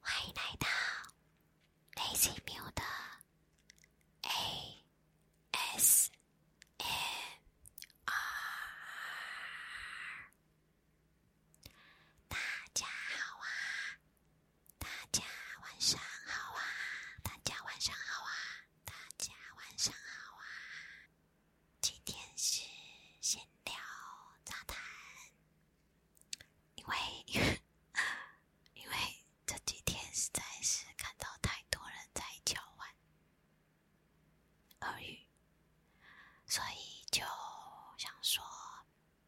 欢迎来到 a y m l A 大家好啊！大家晚上好啊！大家晚上好啊！大家晚上好啊！今天是闲聊杂谈，因为 因为这几天实在是看到太多人在教玩俄语，所以就想说，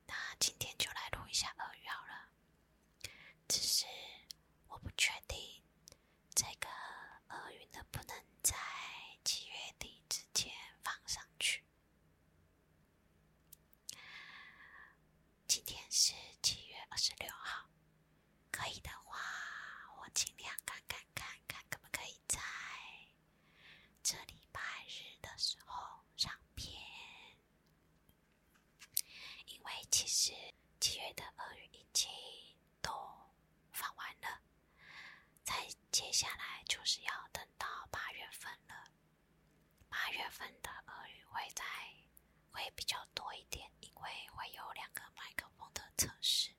那今天就来录一下俄语好了。只是我不确定这个厄运能不能在七月底之前放上去。今天是七月二十六号，可以的话，我尽量看看看看，可不可以在这礼拜日的时候上片。因为其实七月的鳄鱼已经都放完了，在接下来就是要等到八月份了。八月份的鳄鱼会在会比较多一点，因为会有两个麦克风的测试，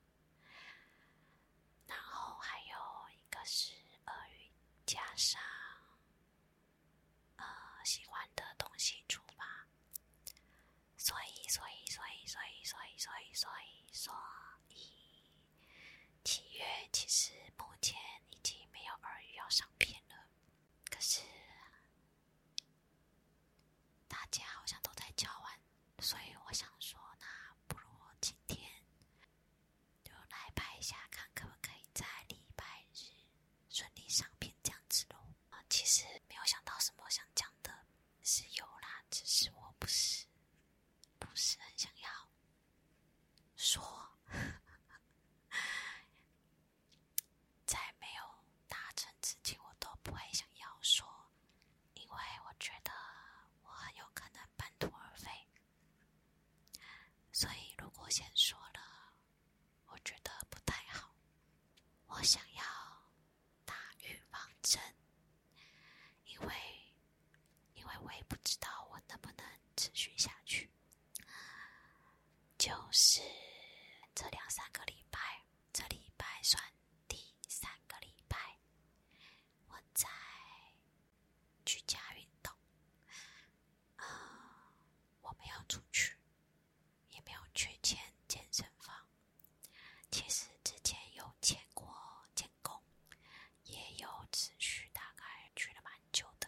然后还有一个是鳄鱼加上呃喜欢的东西出发。所以，所以，所以，所以，所以，所以，所以，所以，七月其实目前已经没有耳语要上片了，可是大家好像都在交换，所以我想说，那不如今天就来拍一下，看可不可以在礼拜日。顺利上片这样子的，其实没有想到什么想讲的，是有啦，只是我不是不是很想要说，在没有达成之前，我都不会想要说，因为我觉得我很有可能半途而废，所以如果先说了。我觉得不太好，我想要打预防针，因为因为我也不知道我能不能持续下去。就是这两三个礼拜，这礼拜算第三个礼拜，我在居家运动啊，我没有出去。也没有去签健身房。其实之前有签过健功，也有持续，大概去了蛮久的。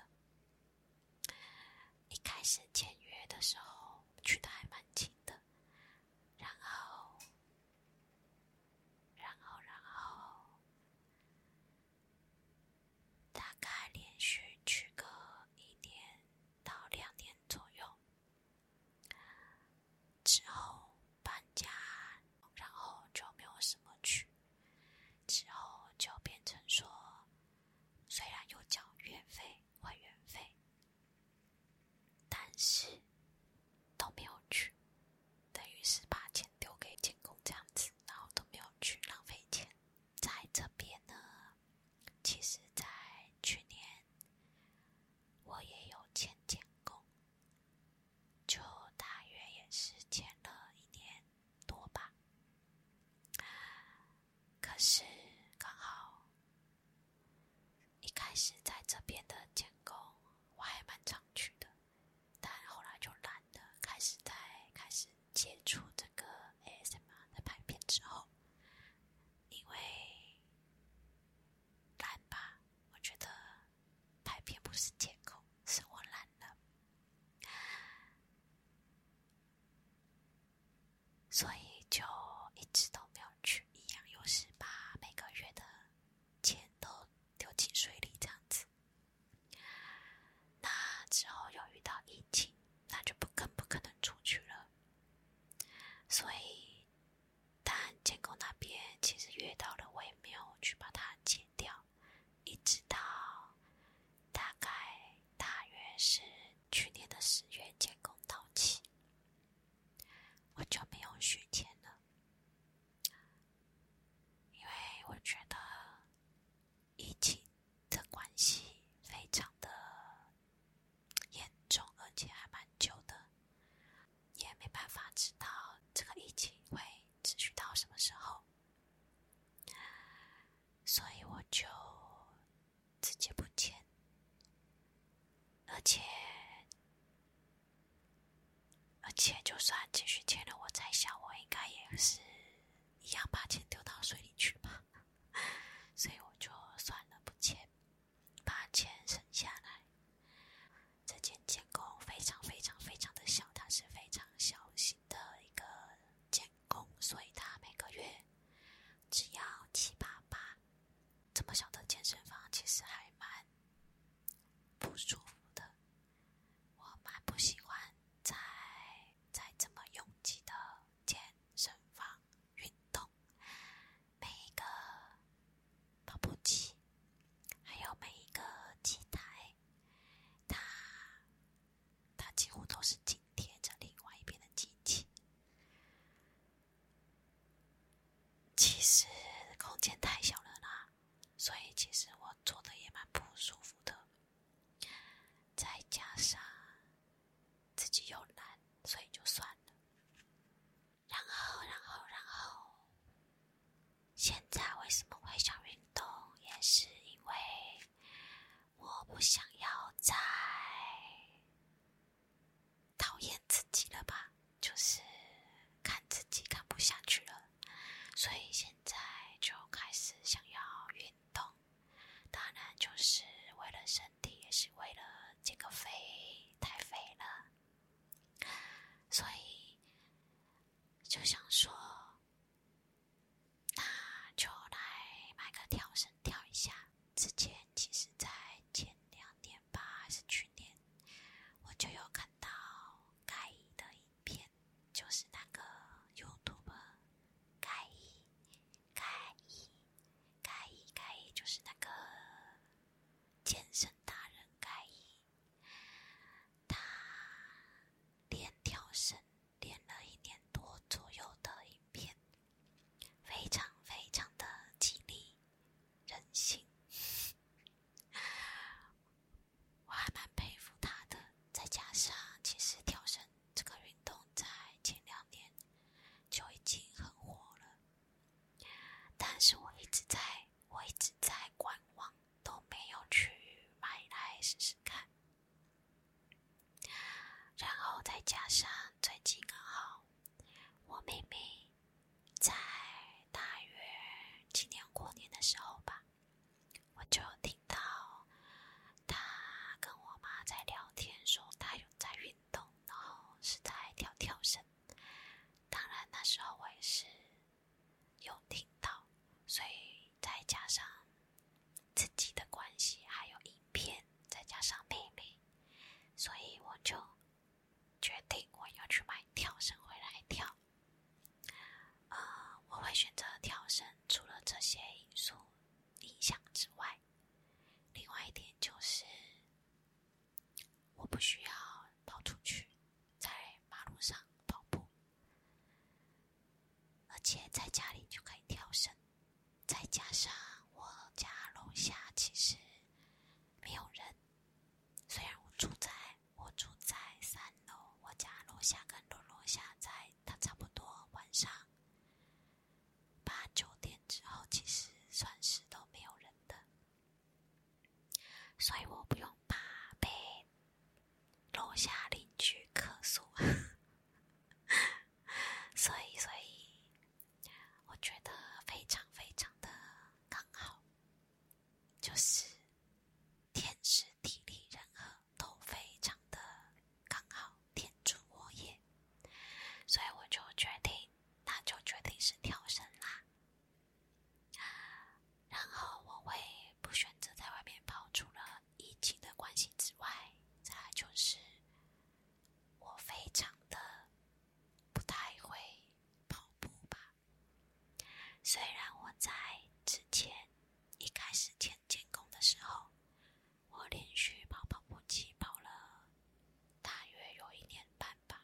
一开始签约的时候去的还蛮勤的，然后，然后，然后，大概连续去个一年到两年左右。之后搬家，然后就没有什么去。之后就变成说，虽然有交月费、会员费，但是都没有去，等于是把钱丢给监工这样子，然后都没有去，浪费钱。在这边呢，其实，在去年，我也有签监工，就大约也是签了一年多吧。可是，刚好一开始在这边的监工，我还蛮常去的，但后来就懒了，开始在开始接触这个。哎，什么？在拍片之后，因为懒吧，我觉得拍片不是借口，是我懒了，所以就一直都没有去。一样，又是把每个月的钱都丢进水里这样子。那之后又遇到疫情，那就不更不可能出去了。所以，但监工那边其实约到了，我也没有去把它剪掉，一直到大概大约是去年的十月，监工到期，我就没有续签了，因为我觉得疫情的关系非常的。严重，而且还蛮久的，也没办法知道这个疫情会持续到什么时候，所以我就直接不签。而且，而且，就算继续签了，我在想，我应该也是一样把钱丢到水里去吧。所以我就算了不签，把钱省下来。这间监工非常非常非常的小，它是非常小型的一个监工，所以它每个月只要七八八。这么小的健身房其实还蛮不舒服的，我蛮不喜欢在在这么拥挤的健身房。运动，每一个跑步机，还有每一个机台，它，它几乎都是紧贴着另外一边的机器。其实空间太小了啦，所以其实我坐的也蛮不舒服的，再加上。自己又懒，所以就算了。然后，然后，然后，现在为什么会想运动，也是因为我不想要再讨厌自己了吧？就是看自己看不下去了，所以现在就开始想要运动。当然，就是为了身体，也是为了这个肥太肥了，所以就想说，那就来买个跳绳跳一下。之前其实，在前两年吧，还是去年，我就有看到盖伊的影片，就是那个 y o u t u 盖伊。盖伊，盖伊，盖伊就是那个健身达人盖伊，他练跳绳练了一年多左右的影片，非常非常的激励人心，我还蛮佩服他的。再加上，其实跳绳。这个运动在前两年就已经很火了，但是我一直在，我一直在观望，都没有去买来试试看。然后再加上最近刚好，我明明在大约今年过年的时候吧，我就听到他跟我妈在聊天，说他有在运。动。动，然后是在跳跳绳。当然那时候我也是有听到，所以再加上自己的关系，还有影片，再加上妹妹，所以我就决定我要去买跳绳回来跳。呃，我会选择跳绳。除了这些因素。影响之外，另外一点就是，我不需要跑出去，在马路上跑步，而且在家里就可以跳绳。再加上我家楼下其实没有人，虽然我住在我住在三楼，我家楼下跟楼楼下在他差不多晚上。八九点之后，其实算是都没有人的，所以我不用怕被楼下邻居客诉。所以，所以我觉得非常非常的刚好，就是天时地利人和都非常的。刚好天助我也，所以我就决定，那就决定是跳绳啦。然后我会不选择在外面跑，除了疫情的关系之外，再就是我非常的不太会跑步吧。虽然我在之前一开始签监工的时候。我连续跑跑步机跑了大约有一年半吧，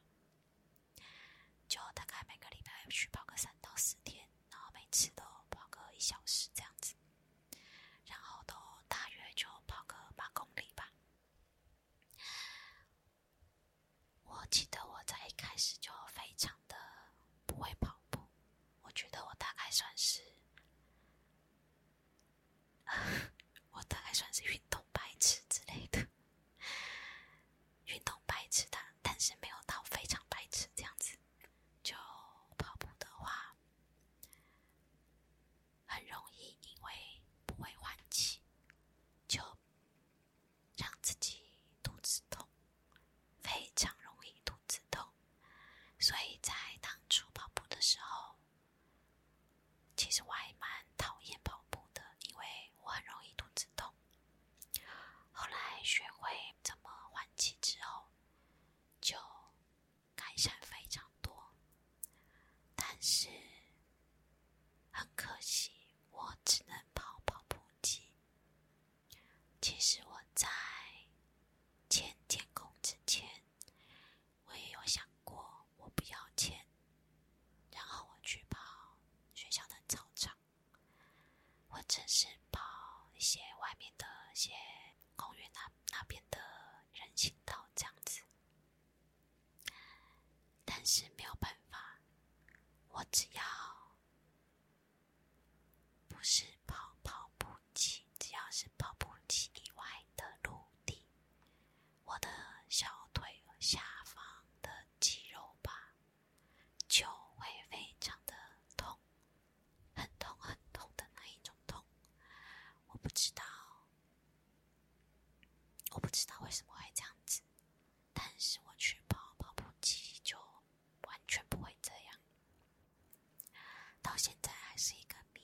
就大概每个礼拜去跑个三到四天，然后每次都跑个一小时这样子，然后都大约就跑个八公里吧。我记得我在一开始就非常的不会跑步，我觉得我大概算是。我大概算是运动白痴之类的，运动白痴的，但是没有到非常白痴这样子。就跑步的话，很容易因为不会换气，就让自己肚子痛，非常容易肚子痛。所以在当初跑步的时候。其实我还蛮讨厌跑步的，因为我很容易肚子痛。后来学会怎么换气之后，就改善非常多。但是很可惜，我只能跑跑步机。其实我在前天空之前。我也有想过，我不要钱，然后我去跑学校的操场，或者是跑一些外面的、一些公园那那边的人行道这样子，但是没有办法，我只要不是跑跑步。起，只要是跑步机以外的陆地，我的小腿下方的肌肉吧，就会非常的痛，很痛很痛的那一种痛。我不知道，我不知道为什么会这样子，但是我去跑跑步机就完全不会这样，到现在还是一个谜。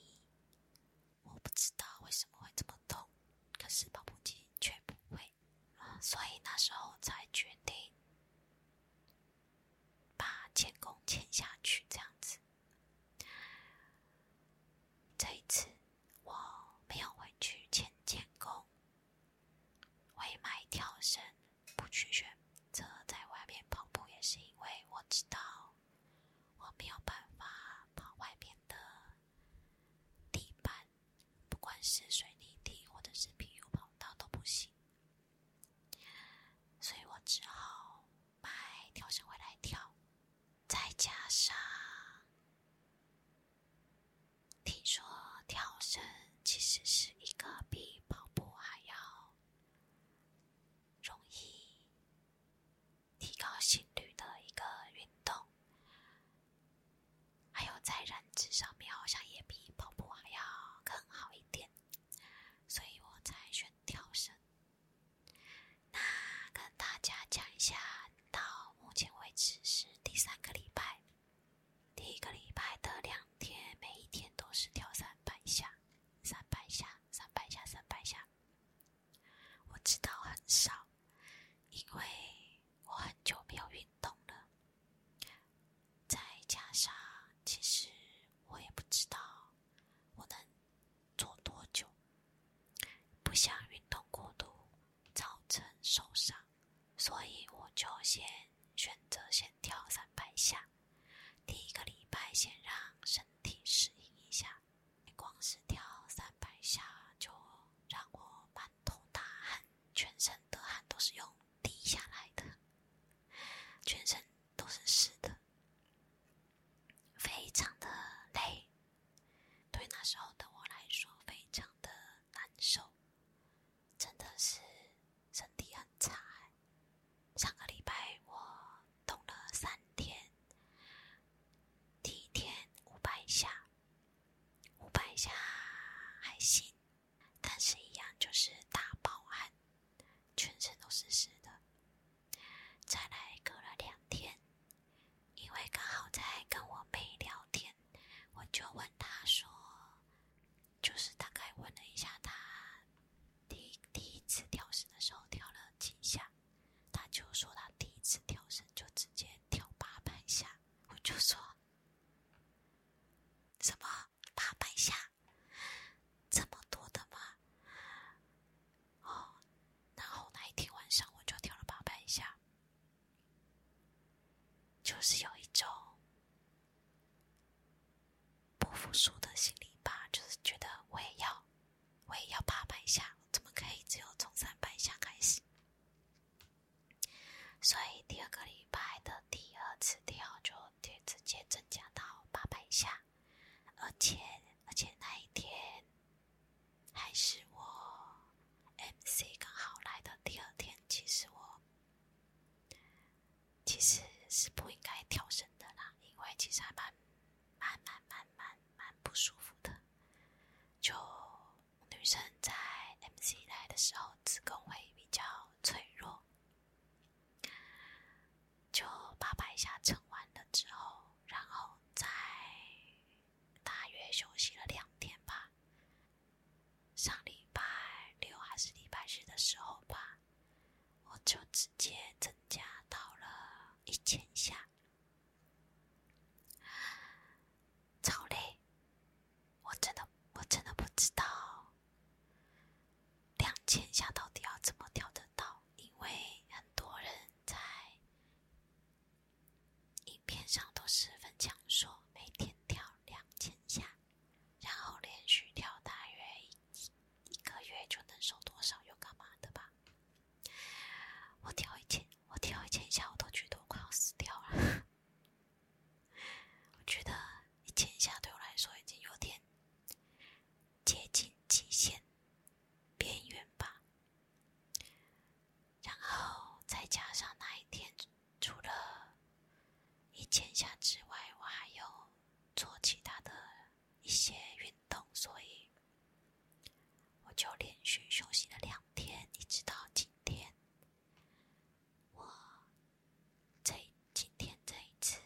我不知道为什么会这么痛，可是跑步机却不会，所以那时候才决定把铅工签下去这样子。这一次我没有回去牵铅工，我也买跳绳，不去选择在外面跑步，也是因为我知道。我没有办法跑外面的地板，不管是水泥地或者是 PU 跑道都不行，所以我只好买跳绳回来跳。再加上，听说跳绳其实是一个比跑步还要容易。提高心率的一个运动，还有在燃脂上面好像也比跑步还要更好一点，所以我才选跳绳。那跟大家讲一下，到目前为止是第三个礼拜，第一个礼拜的两天，每一天都是跳三百下，三百下，三百下，三百下。我知道很少，因为我很久没有运动了，再加上其实我也不知道我能做多久，不想运动过度造成受伤，所以我就先选择先跳三百下，第一个礼拜先让身体适应一下。光是跳三百下就让我满头大汗，全身的汗都是用滴下来的，全身都是湿的，非常的累。对那时候的我来说，非常的难受，真的是身体很差。上个礼拜我。动了三天，第一天五百下，五百下还行，但是一样就是大爆汗，全身都是湿的。再来隔了两天，因为刚好在跟我妹聊天，我就问她说，就是大概问了一下她第第一次跳绳的时候跳了几下。他就说他第一次跳绳就直接跳八百下，我就说什么八百下这么多的吗？哦，然后那一天晚上我就跳了八百下，就是有一种不服输的心理吧，就是觉得我也要。我也要八百下，怎么可以只有从三百下开始？所以第二个礼拜的第二次跳就直直接增加到八百下，而且而且那一天还是我 MC 刚好来的第二天，其实我其实是不应该跳绳的啦，因为实还班。慢慢慢慢蛮不舒服的，就女生在 M C 来的时候，子宫会比较脆弱。就八百下撑完了之后，然后再大约休息了两天吧。上礼拜六还是礼拜日的时候吧，我就直接增加到了一千下。超累，我真的我真的不知道，两千下到底要怎么跳得到？因为很多人在影片上都是分享说，每天跳两千下，然后连续跳大约一一个月就能瘦多少，有干嘛的吧？我跳一千，我跳一千下，我都觉得我快要死掉了。我觉得一千下对我来说已经有点接近极限边缘吧。然后再加上那一天，除了一千下之外，我还有做其他的。一些运动，所以我就连续休息了两天，一直到今天。我这今天这一次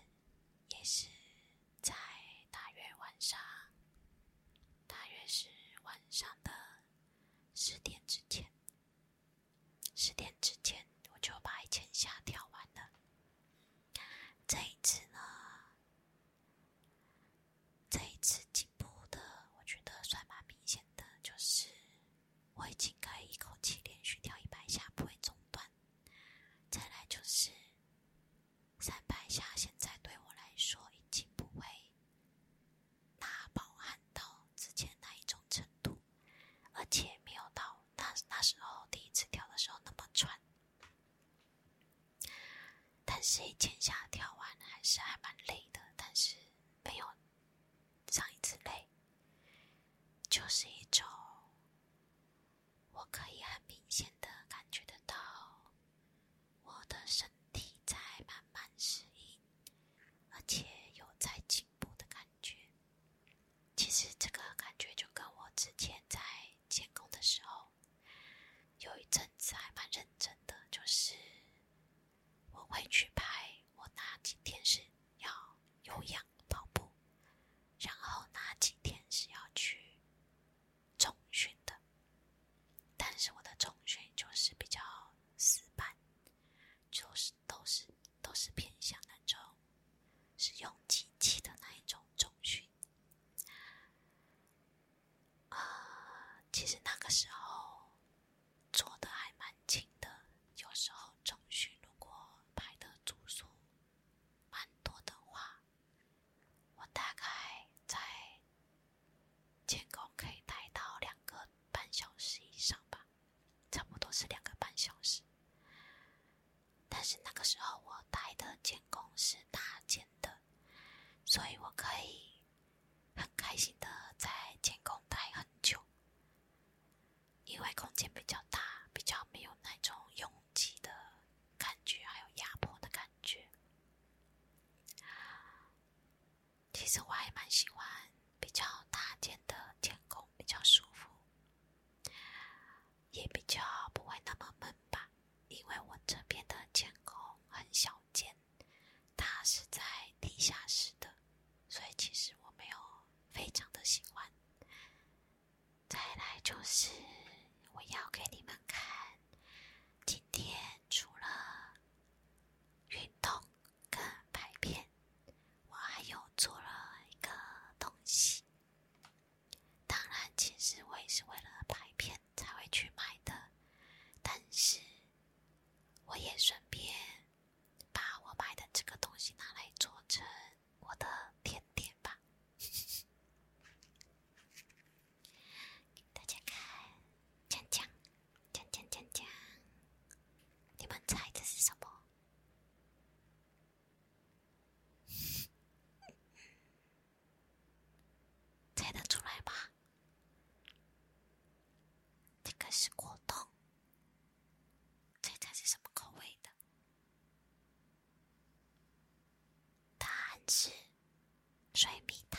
也是在大约晚上，大约是晚上的十点之前。十点之前我就把一千下跳完了。这一次呢？这一次进步的，我觉得算蛮明显的，就是我已经可以一口气连续跳一百下不会中断。再来就是，三百下现在对我来说已经不会大饱汗到之前那一种程度，而且没有到那那时候第一次跳的时候那么喘。但是，一千下跳完还是还蛮累的，但是没有上一次累，就是一种我可以很明显的感觉得到我的身体在慢慢适应，而且有在进步的感觉。其实这个感觉就跟我之前在前空的时候。有一阵子还蛮认真的，就是我会去拍。我哪几天是要有氧跑步，然后哪几天是要去中训的。但是我的中训就是比较死板，就是都是都是偏向那种是用机器的那一种中训。呃，其实那个时候做的还蛮勤的，有时候中午如果排的住宿蛮多的话，我大概在监工可以待到两个半小时以上吧，差不多是两个半小时。但是那个时候我待的监工是大建的。所以，我可以很开心的在监控待很久，因为空间比较大，比较没有那种拥挤的感觉，还有压迫的感觉。其实我还蛮喜欢比较大间的监控，比较舒服。也比较不会那么闷吧，因为我这边的监控很小间，它是在地下室的，所以其实我没有非常的喜欢。再来就是我要给你们看，今天除了运动跟排便，我还有做了一个东西。当然，其实我也是为了拍片才会去买的，但是我也顺便把我买的这个东西拿来做成我的甜点吧。大家看，锵锵，锵锵锵锵，你们猜这是什么？猜得出来吧？这个是果冻，猜猜是什么口味的？答案是水蜜桃。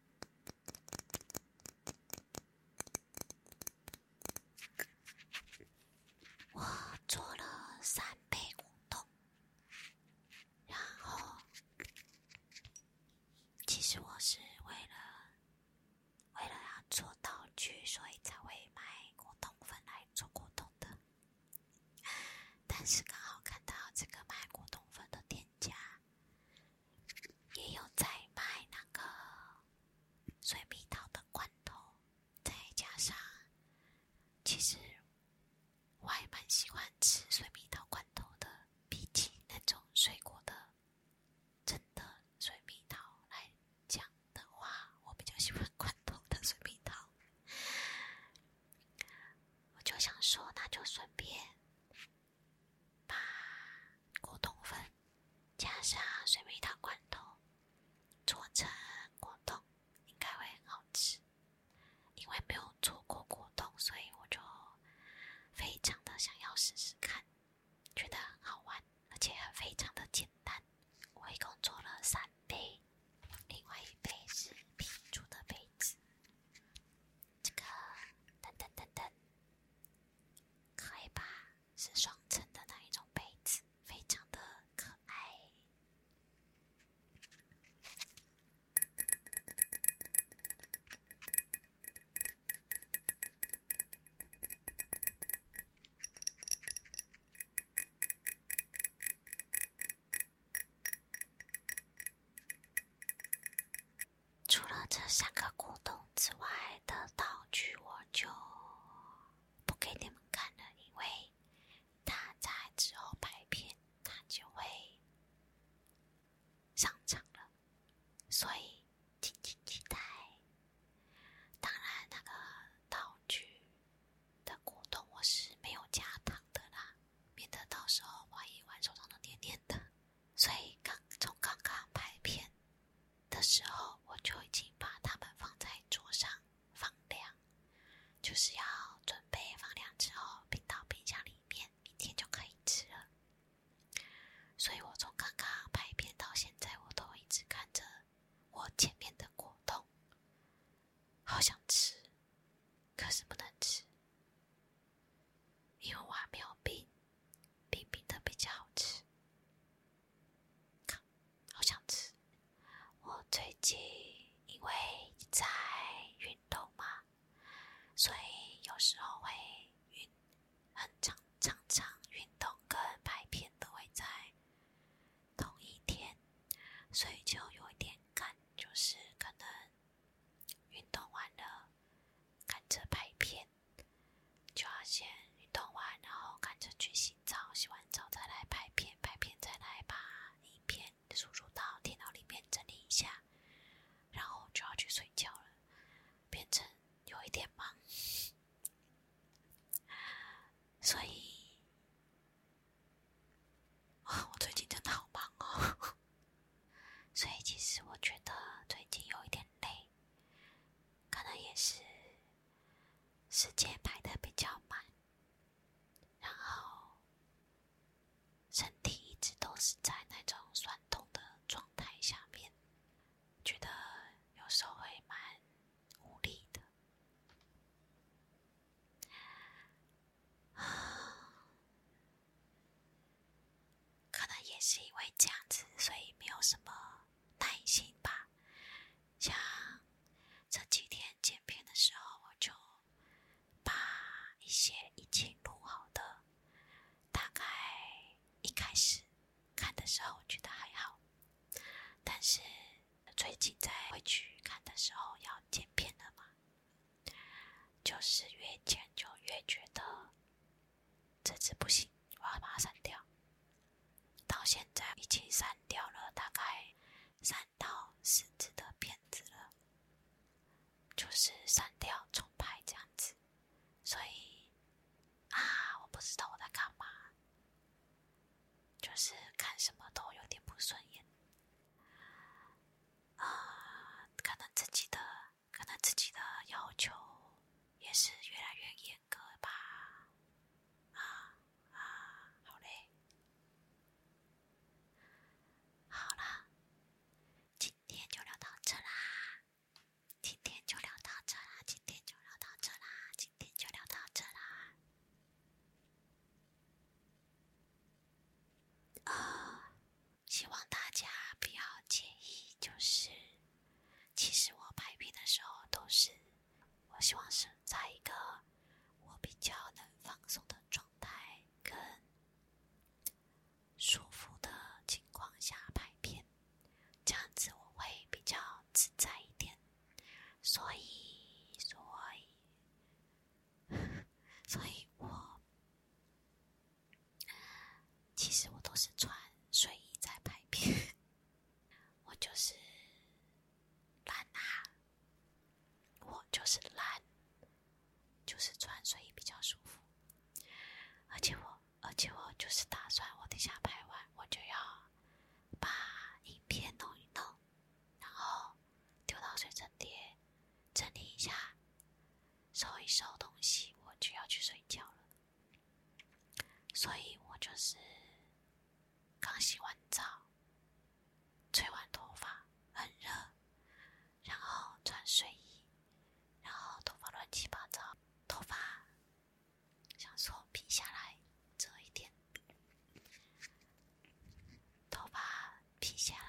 我做了三杯果冻，然后其实我是为了为了要做道具，所以才会买果冻粉来做果冻的。但是刚好看到这个卖果冻粉的店。家也有在卖那个水蜜桃的罐头，再加上，其实我还蛮喜欢吃水蜜桃罐头的。毕竟那种水果的，真的水蜜桃来讲的话，我比较喜欢罐头的水蜜桃。我就想说，那就顺便。把果冻粉加上水蜜桃罐头做成果冻，应该会很好吃。因为没有做过果冻，所以我就非常的想要试试看，觉得很好玩，而且非常的简单。我一共做了三杯，另外一杯是拼出的杯子。这个，等等等等，可爱吧？是双层的那一种杯子，非常的可爱。除了这三个果冻之外的道具，我就不给你们看了，因为他在之后拍片，他就会上场了，所以敬请期待。当然，那个道具的果冻我是没有加糖的啦。免得到时候万一玩手上都黏黏的，所以刚从刚刚拍片的时候，我就已经把它们放在桌上放凉，就是要准备放凉之后冰到冰箱里面，明天就可以吃了。所以我从刚刚拍片到现在，我都一直看着我前面的果冻，好想吃，可是不能吃。因为还没有冰，冰冰的比较好吃。好想吃！我最近因为在运动嘛，所以有时候会运，很常常常运动跟拍片都会在同一天，所以就有一点干，就是可能。运动完了，赶着拍片，就要先运动完，然后赶着去洗澡，洗完澡再来拍片，拍片再来把影片输入到电脑里面整理一下，然后就要去睡觉了，变成有一点忙，所以我最近真的好忙哦。所以，其实我觉得最近有一点累，可能也是时间排的比较满，然后身体一直都是在那种酸痛的状态下面，觉得有时候会蛮无力的。啊，可能也是因为这样子，所以没有什么耐心吧。像这几天剪片的时候，我就把一些已经录好的，大概一开始看的时候我觉得还好，但是最近在回去看的时候要剪片了嘛。就是越剪就越觉得这次不行，我要把它删掉。到现在已经删掉了大概三到四次的片子了，就是删掉重拍这样子。所以啊，我不知道我在干嘛，就是看什么都有点不顺眼。啊，可能自己的可能自己的要求也是越来越严格吧。啊啊，好嘞，好啦，今天就聊到这啦。今天就聊到这啦。今天就聊到这啦。今天就聊到这啦。啊。希望大家不要介意，就是其实我拍片的时候都是，我希望是在一个我比较能放松的状态跟舒服的情况下拍片，这样子我会比较自在一点，所以所以 所以我。其实我都是穿睡衣在拍片，我就是懒呐，我就是懒，就是穿睡衣比较舒服。而且我，而且我就是打算我等下拍完，我就要把影片弄一弄，然后丢到水蒸碟。整理一下，收一收东西，我就要去睡觉了。所以我就是刚洗完澡，吹完头发，很热，然后穿睡衣，然后头发乱七八糟，头发想说披下来遮一点，头发披下来。